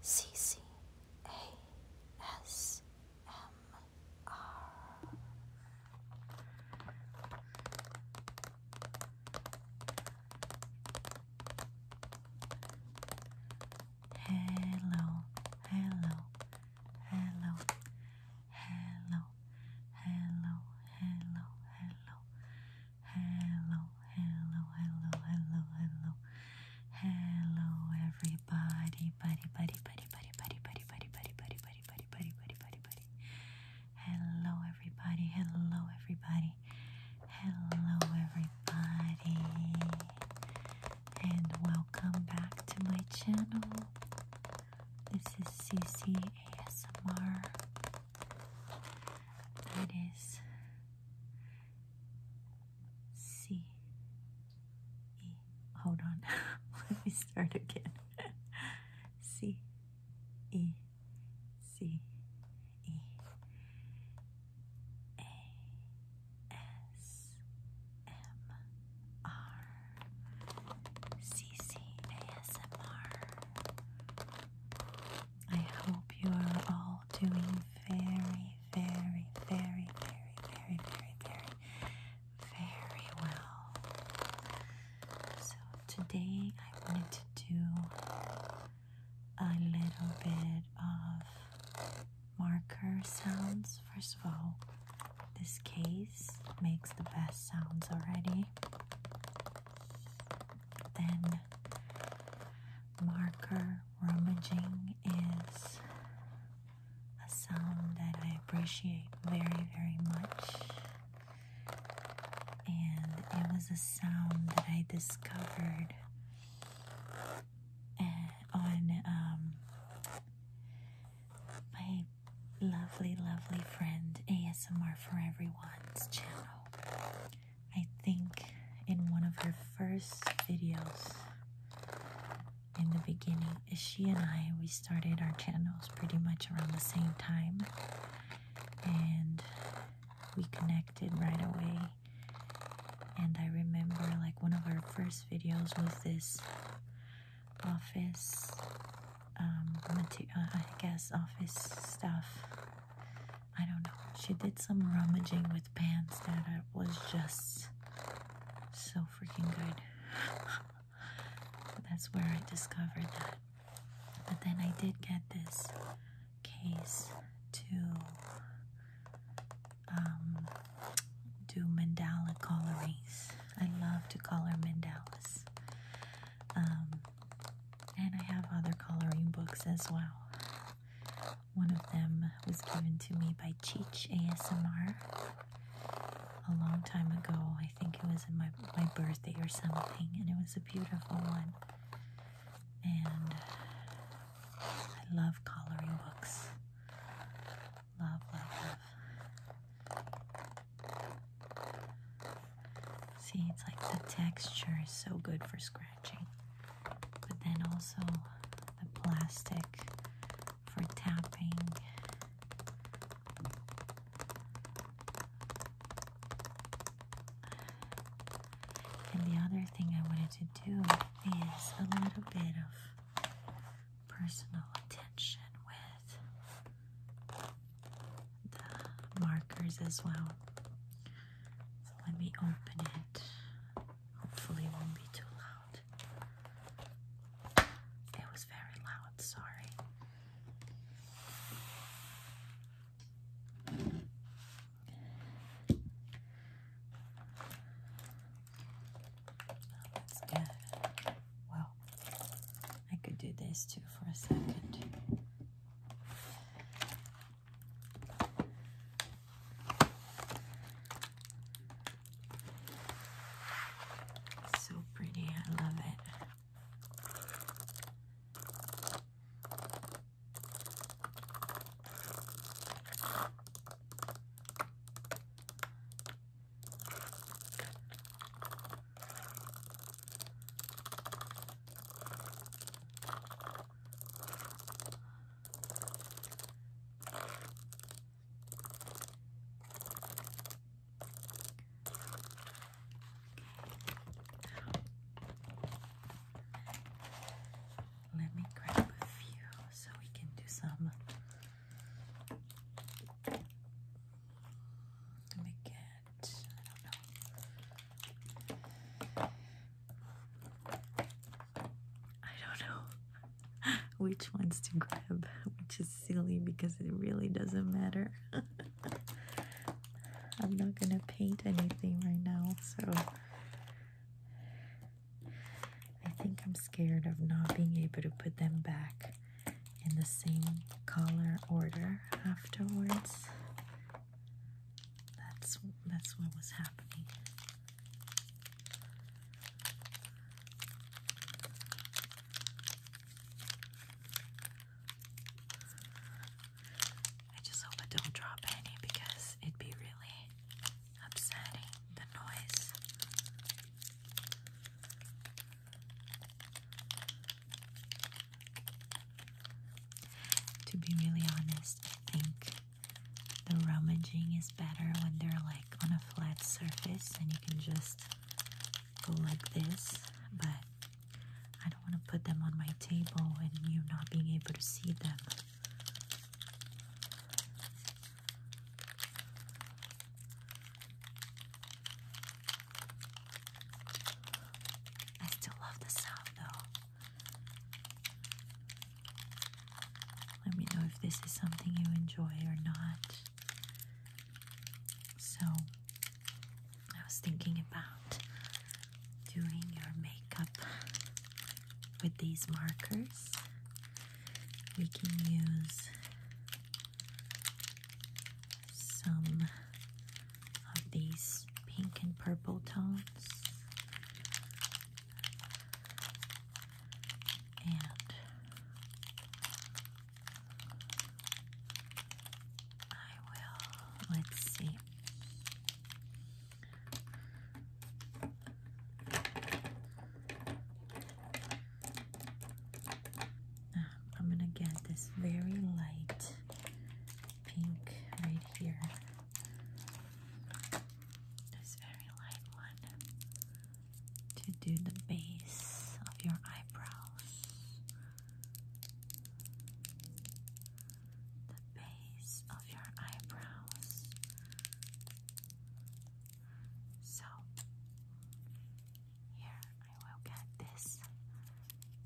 C C A S M R. Hello, hello, hello, hello, hello, hello, hello, Hello, hello, hello, hello, hello. Hello, everybody. Buddy, buddy, buddy, buddy, buddy, buddy, buddy, buddy, buddy, buddy, buddy, buddy, buddy, buddy, Hello, everybody. Hello, everybody. Hello, everybody. And welcome back to my channel. This is Susie ASMR. It is C E. Hold on, let me start again. C E C E A S M R C C A S M R I hope you are all doing very, very, very, very, very, very, very, very well. So today I wanted to do a little bit of marker sounds. First of all, this case makes the best sounds already. Then marker Rummaging is a sound that I appreciate very, very much. And it was a sound that I discovered eh, on um, my lovely, lovely friend ASMR for Everyone's channel. I think in one of her first videos in the beginning, she and I we started our channels pretty much around the same time and we connected right away. And I remember like one of our first videos was this office um, uh, I guess office stuff I don't know. She did some rummaging with pants that was just so freaking good. That's where I discovered that. But then I did get this case to um, do mandala colorings. I love to color mandalas. Um, and I have other coloring books as well. One of them was given to me by Cheech ASMR a long time ago. I think it was in my my birthday or something, and it was a beautiful one. And I love coloring books. Love, love, love. See, it's like the texture is so good for scratching. But then also the plastic for tapping. And the other thing I wanted to do is a little bit of personal attention with the markers as well let me open it. Hopefully, it won't be too loud. It was very loud, sorry. that's good. Well, I could do this too for a second. So pretty, I love it. Let me grab a few so we can do some. Let me get, I don't know. I don't know which ones to grab, which is silly because it really doesn't matter. I'm not gonna paint anything right now, so I think I'm scared of not being able to put them back in the same color order afterwards. That's that's what was happening. I just hope I don't drop any because it'd be really upsetting the noise. To be really honest, I think the rummaging is better when they're like on a flat surface and you can just go like this, but I don't want to put them on my table and you not being able to see them. I still love the sound though. Let me know if this is something you enjoy or not. So, I was thinking about doing your makeup with these markers. We can use some of these pink and purple tones. And I will, let's see. I'm going to get this very light pink right here this very light one to do the base of your eyebrows. The base of your eyebrows. So, here I will get this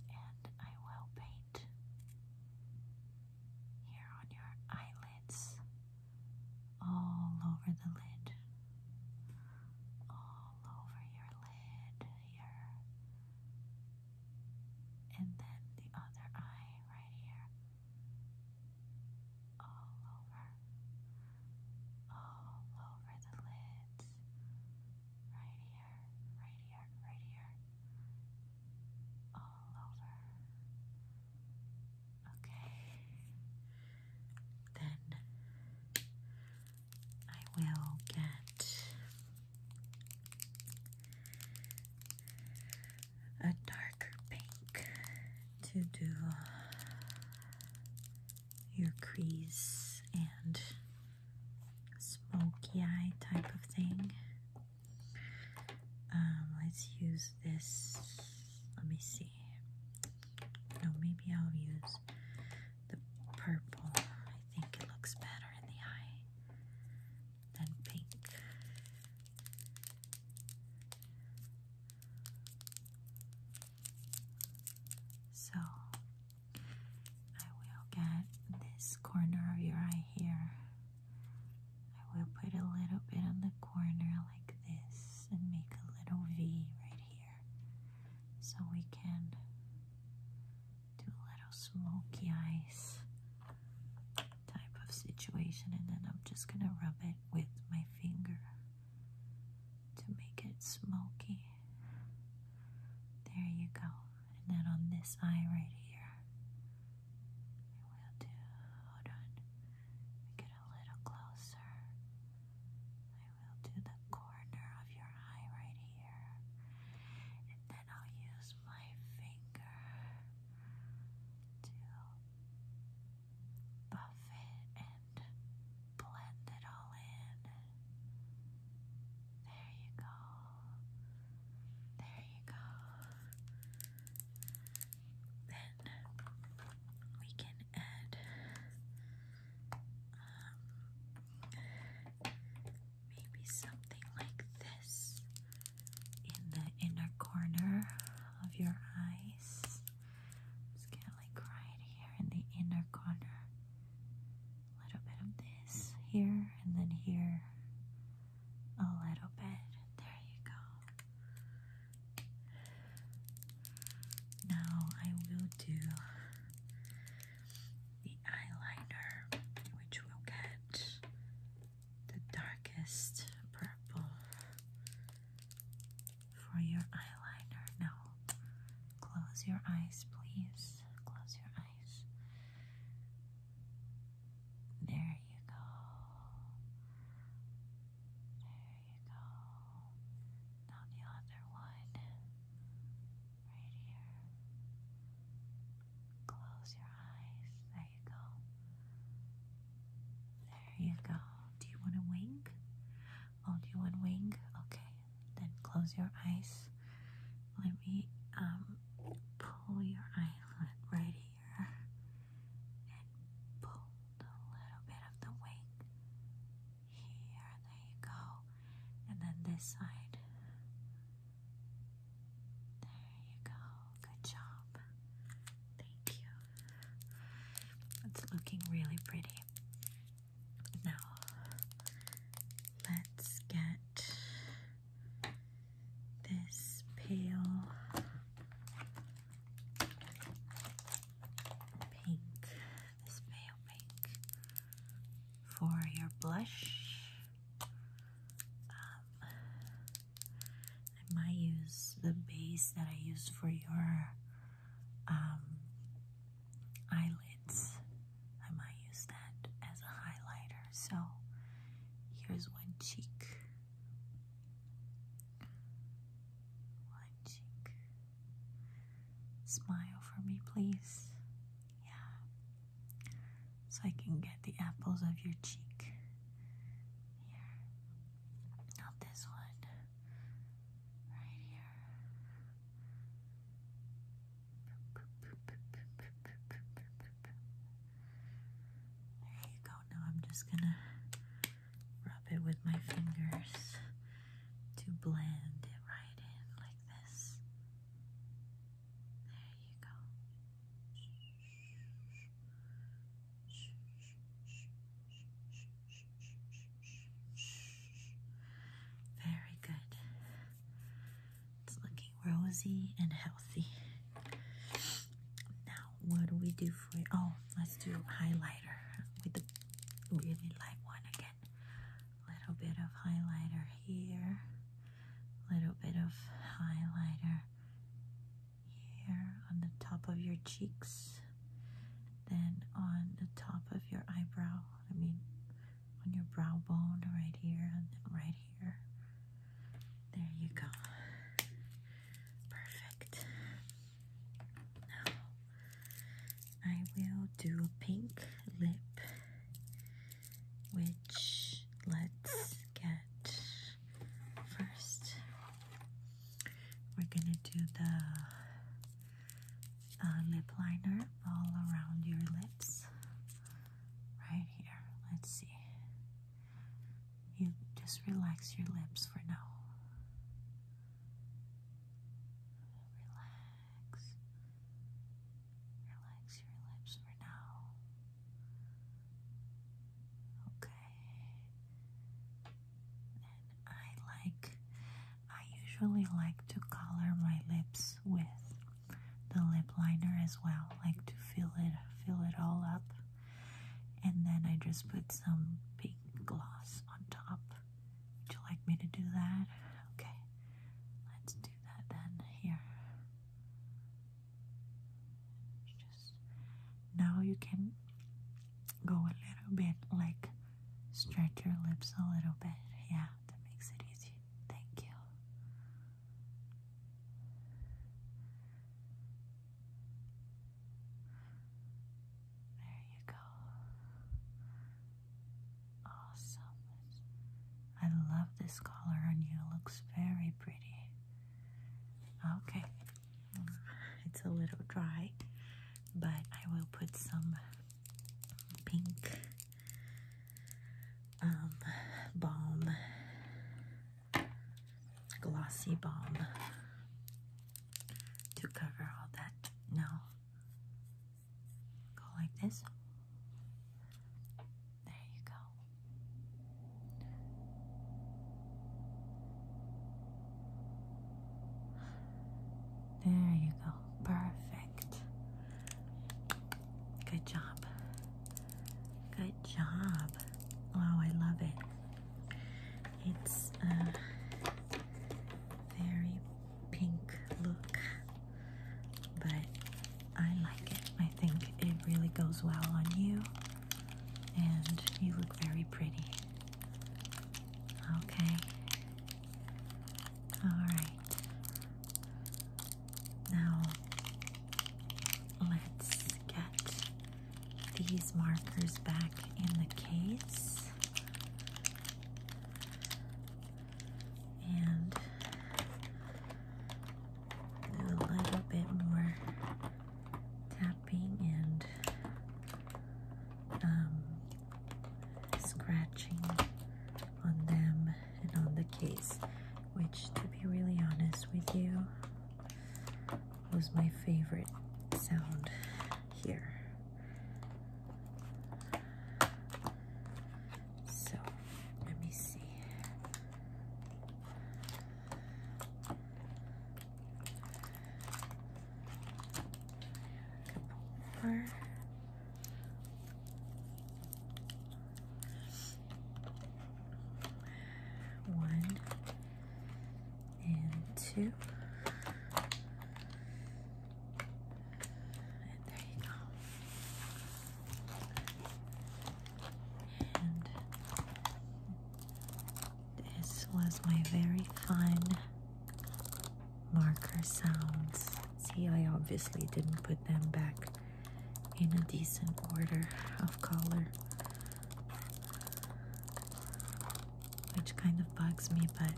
and I will paint light here on your eyelids, all over the lid, all over your lid here, and then the other eye right here, all over, all over the lids, right here, right here, right here all over. Okay. Then I will get a darker pink to do your crease and smoky eye type of thing. Um, let's use this. Let me see. No, maybe I'll use the purple. I think it looks better in the eye than pink. So I will get this corner of your eye here. I will put a little bit on the corner like this and make a little V right here so we can do a little smoky eyes type of situation and then I'm just going to rub it with my finger to make it smoky. There you go. And then on this eye right here, I will do. Hold on. Get a little closer. I will do the corner of your eye right here. And then I'll use my finger to buff it and blend it all in. There you go. There you go. Then we can add um, maybe something like this in the inner corner of your eyes. Just like right here in the inner corner a little bit of this here and then here a little bit. There you go. Now I will do the eyeliner, which will get the darkest purple for your eyeliner. Now close your eyes, please. Close your eyes. There you go. There you go. Now the other one. Right here. Close your eyes. There you go. There you go. Do you want a wing? Oh, do you want wing? Okay. Then close your eyes let me um pull your eyelid right here and pull a little bit of the wing here. There you go. And then this side. There you go. Good job. Thank you. It's looking really pretty. Now, let's get this pale pink, this pale pink for your blush. Um, I might use the base that I used for your um, eyelids I might use that as a highlighter. So here's one cheek. One cheek. Smile for me, please. Yeah. So I can get the apples of your cheek. Here. Not this one. Right here. There you go. Now I'm just gonna rub it with my fingers to blend it right in like this. There you go. Very good. It's looking rosy and healthy. Now, what do we do for it? Oh, let's do highlighter with the really light one again. Little bit of highlighter here. Little bit of highlighter here on the top of your cheeks. Then on the top of your eyebrow. I mean, on your brow bone right here and then right here. There you go. Perfect. Now I will do a pink lip, which let's get first. We're gonna do the uh, lip liner all around your lips right here. Let's see. You just relax your lips for now. Relax. Relax your lips for now. Okay. And I like, I usually like to color my lips with the lip liner as well, like to fill it fill it all up. And then I just put some pink gloss on top. Would you like me to do that? Okay. Let's do that then here. Just now you can go a little bit like stretch your lips a little bit. Yeah, that makes it easier. Thank you. There you go. Awesome. I love this color on you. looks very pretty. Okay. It's a little dry, but I will put some pink um, balm, glossy balm to cover all that. Now, go like this. There you go. There you go. Perfect. Good job. Good job. Oh, I love it. It's a very pink look, but I like it. I think it really goes well on you, and you look very pretty. Okay. Alright. Now let's get these markers back in the case. And a little bit more tapping and um, scratching on them and on the case, which, to be really honest with you, was my favorite sound here. So let me see. One and two. And there you go. And this was my very fun marker sounds. See, I obviously didn't put them back in a decent order of color, which kind of bugs me, but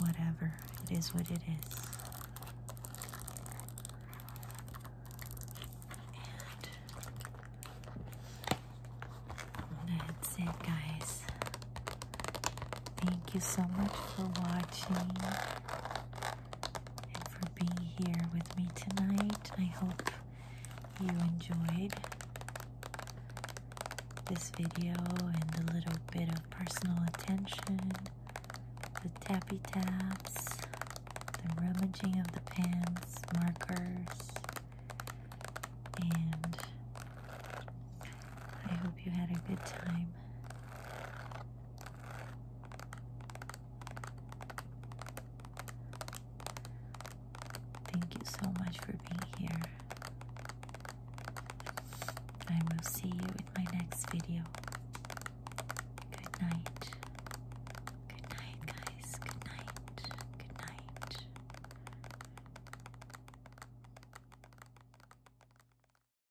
whatever, it is what it is. And that's it, guys. Thank you so much for watching and for being here with me tonight. I hope you enjoyed this video and a little bit of personal attention, the tappy taps, the rummaging of the pens, markers, and I hope you had a good time. Thank you so much for being here. I will see you in my next video. Good night. Good night, guys. Good night. Good night.